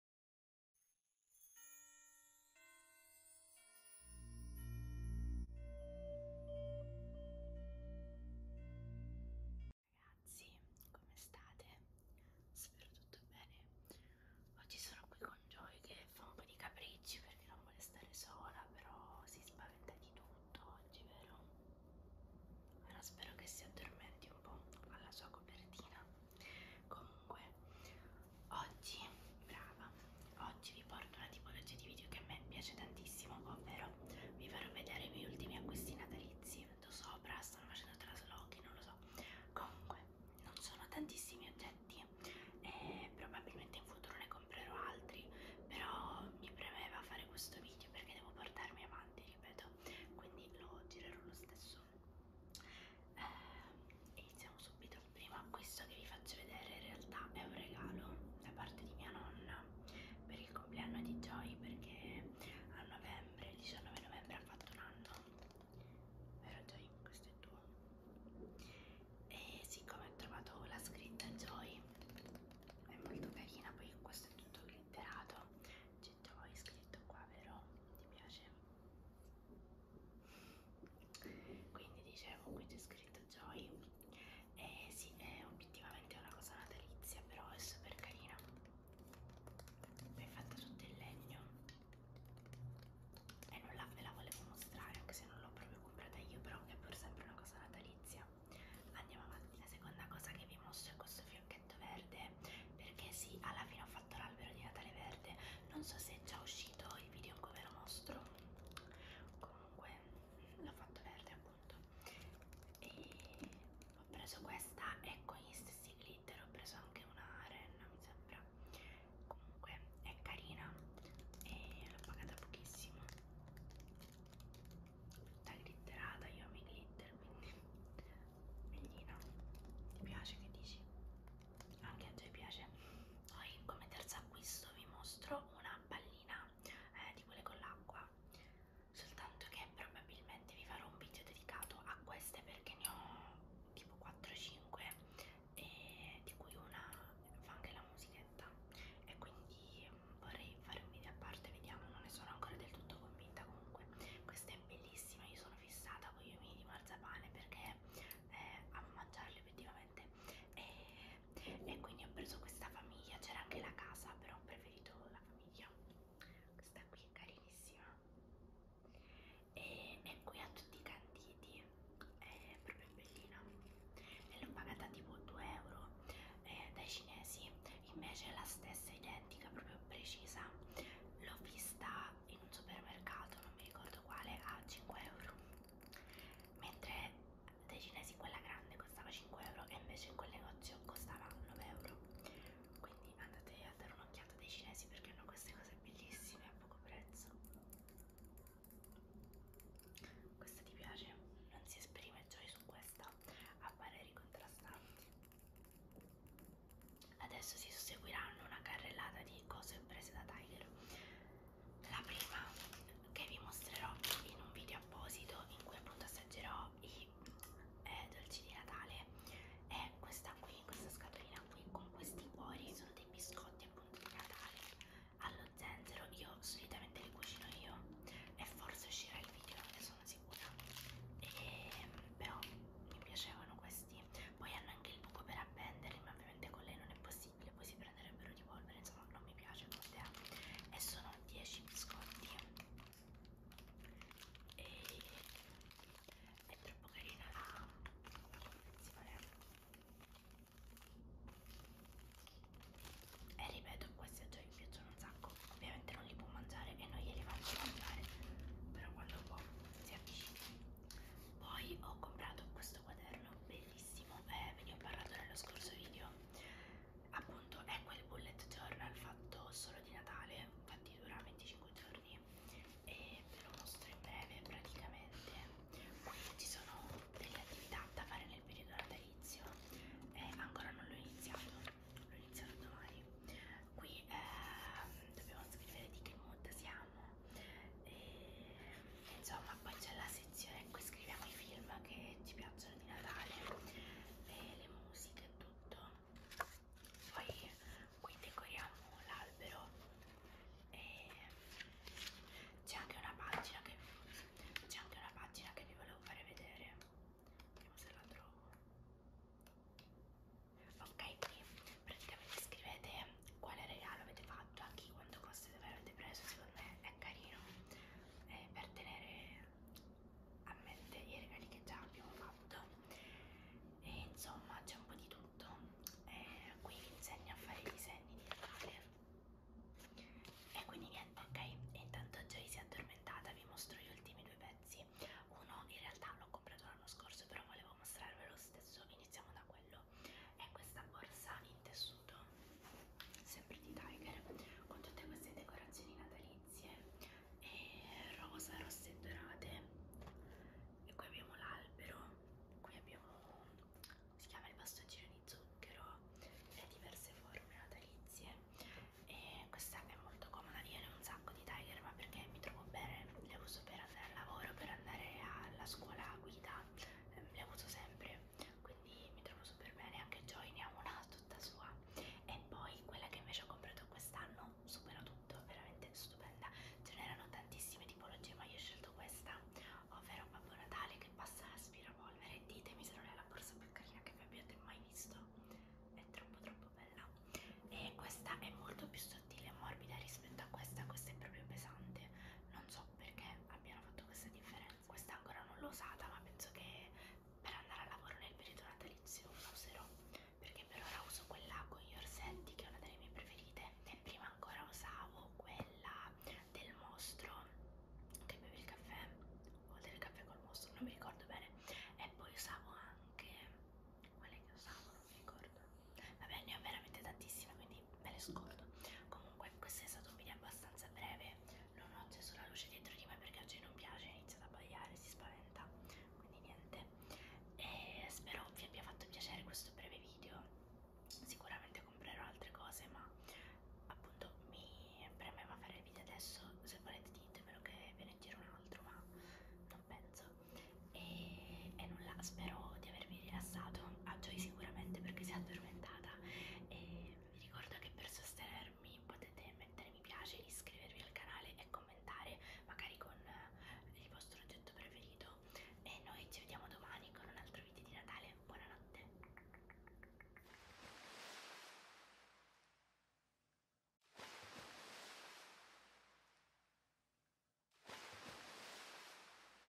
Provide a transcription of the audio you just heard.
Ragazzi, come state? Spero tutto bene. Oggi sono qui con Joy che fa un po' di capricci perché non vuole stare sola, però si spaventa di tutto oggi, vero? Ora spero che si addormenti un po' alla sua copertina comunque oggi brava oggi vi porto una tipologia di video che a me piace tantissimo ovvero vi farò vedere i miei ultimi acquisti natalizi lo so stanno facendo traslochi non lo so comunque non sono tantissimi oggetti e probabilmente in futuro ne comprerò altri però mi premeva fare questo video perché devo portarmi avanti ripeto quindi lo girerò lo stesso eh, iniziamo subito il primo acquisto che vi faccio vedere in realtà è un regalo da parte di mia nonna per il compleanno di Joy perché a novembre, il 19 novembre ha fatto un anno vero Joy? questo è tuo e siccome ho trovato la scritta Joy è molto carina poi questo è tutto glitterato c'è già scritto qua vero? ti piace? quindi dicevo qui c'è scritto Joy e eh, sì è obiettivamente una cosa natalizia però è super carina è fatta tutto in legno e non la, ve la volevo mostrare anche se non l'ho proprio comprata io però è pur sempre una cosa natalizia andiamo avanti la seconda cosa che vi mostro è questo fiocchetto verde perché sì alla fine ho fatto l'albero di Natale verde non so se è già uscito il video in cui ve lo mostro comunque l'ho fatto verde appunto e ho preso questa e con gli stessi glitter ho preso anche una renna mi sembra comunque è carina e l'ho pagata pochissimo tutta glitterata, io mi glitter, quindi bellina. Ti piace che dici? Anche a te piace. Poi come terzo acquisto vi mostro una pallina eh, di quelle con l'acqua, soltanto che probabilmente vi farò un video dedicato a queste perché ne ho tipo 4-5 e eh, di cui una fa anche la musica contenta e quindi mm, vorrei fare un video a parte, vediamo, non ne sono ancora del tutto convinta comunque. Questa è bellissima, io sono fissata con gli omini di marzapane perché eh, amo mangiarli effettivamente e, e quindi ho preso questa famiglia, c'era anche la casa però ho preferito la famiglia. Questa qui è carinissima e, e qui ha tutti i canditi è proprio bellina e l'ho pagata tipo 2 euro eh, dai cinesi invece la stessa identica proprio precisa l'ho vista in un supermercato non mi ricordo quale a 5 euro mentre dai cinesi quella grande costava 5 euro e invece in quel negozio costava 9 euro quindi andate a dare un'occhiata dai cinesi perché hanno queste cose bellissime a poco prezzo questa ti piace? Non si esprime gioia su questa, a pareri contrastanti. Adesso si susseguiranno una carrellata di cose prese da Tiger. La prima che vi mostrerò in un video apposito in cui appunto assaggerò i eh, dolci di Natale è questa qui, questa scatolina qui con questi cuori, sono dei biscotti comunque Natale allo zenzero io solitamente li cucino io e forse uscirà il video non ne sono sicura e, ehm, però mi piacevano questi poi hanno anche il buco per appenderli ma ovviamente con lei non è possibile poi si prenderebbero di polvere insomma non mi piace l'idea e sono 10 biscotti e è troppo carina la confezione e ripeto questi oggetti mi piacciono un sacco ovviamente non li può mangiare e non glieli faccio mangiare però quando può si avvicina poi ho comprato questo quaderno bellissimo eh, ve ne ho parlato nello scorso video appunto è quel bullet journal fatto solo di Natale infatti dura 25 giorni e ve lo mostro in breve praticamente qui ci sono delle attività da fare nel periodo natalizio e eh, ancora non l'ho iniziato l'ho iniziato domani qui eh, dobbiamo scrivere di che mood siamo e, insomma poi c'è la sezione in cui scriviamo i film che ci piacciono di Natale e le musiche e tutto poi qui decoriamo l'albero e c'è anche una pagina che c'è anche una pagina che vi volevo fare vedere vediamo se la trovo ok qui praticamente scrivete quale regalo avete fatto a chi quanto costo avete preso secondo me è carino eh, per tenere a mente i regali che già abbiamo fatto e insomma c'è un po' di tutto e qui vi insegno a fare i disegni di Natale e quindi niente ok e intanto Joy si è addormentata vi mostro gli ultimi due pezzi uno in realtà l'ho comprato l'anno scorso però volevo mostrarvelo stesso iniziamo da quello è questa borsa in tessuto sempre di Tiger con tutte queste decorazioni natalizie e rosa, rosse e dorate e qui abbiamo l'albero qui abbiamo si chiama il bastoncino di zucchero e diverse forme natalizie e questa è molto comoda io ne ho un sacco di tiger ma perché mi trovo bene le uso per andare al lavoro per andare alla scuola a guida ehm, le uso sempre quindi mi trovo super bene anche Joy ne ha una tutta sua e poi quella che invece ho comprato quest'anno supera tutto, veramente stupenda ce n'erano tantissime tipologie ma io ho scelto questa ovvero Babbo Natale che passa aspirapolvere ditemi se non è la borsa più carina che vi abbiate mai visto è troppo troppo bella e questa è molto più sottile e morbida rispetto a questa questa è proprio pesante non so perché abbiano fatto questa differenza questa ancora non l'ho usata ma penso che per andare a lavoro nel periodo natalizio la userò perché per ora uso quella con gli orsetti che è una delle mie preferite e prima ancora usavo quella del mostro che beve il caffè o del caffè col mostro non mi ricordo bene e poi usavo anche quelle che usavo non mi ricordo vabbè ne ho veramente tantissime quindi me le scordo comunque questo è stato un video abbastanza breve non ho acceso la luce dietro di me perché a Jay non piace, inizia ad abbaiare, si spaventa, quindi niente. E spero vi abbia fatto piacere questo breve video, sicuramente comprerò altre cose, ma appunto mi premeva fare il video adesso, se volete ditemelo che ve ne giro un altro, ma non penso. E, e nulla, spero di avervi dormire rilassato a Joy sicuramente perché si è addormentata e vi ricordo che per sostenermi potete mettere mi piace, iscrivervi al canale e commentare magari con eh, il vostro oggetto preferito e noi ci vediamo domani con un altro video di Natale, buonanotte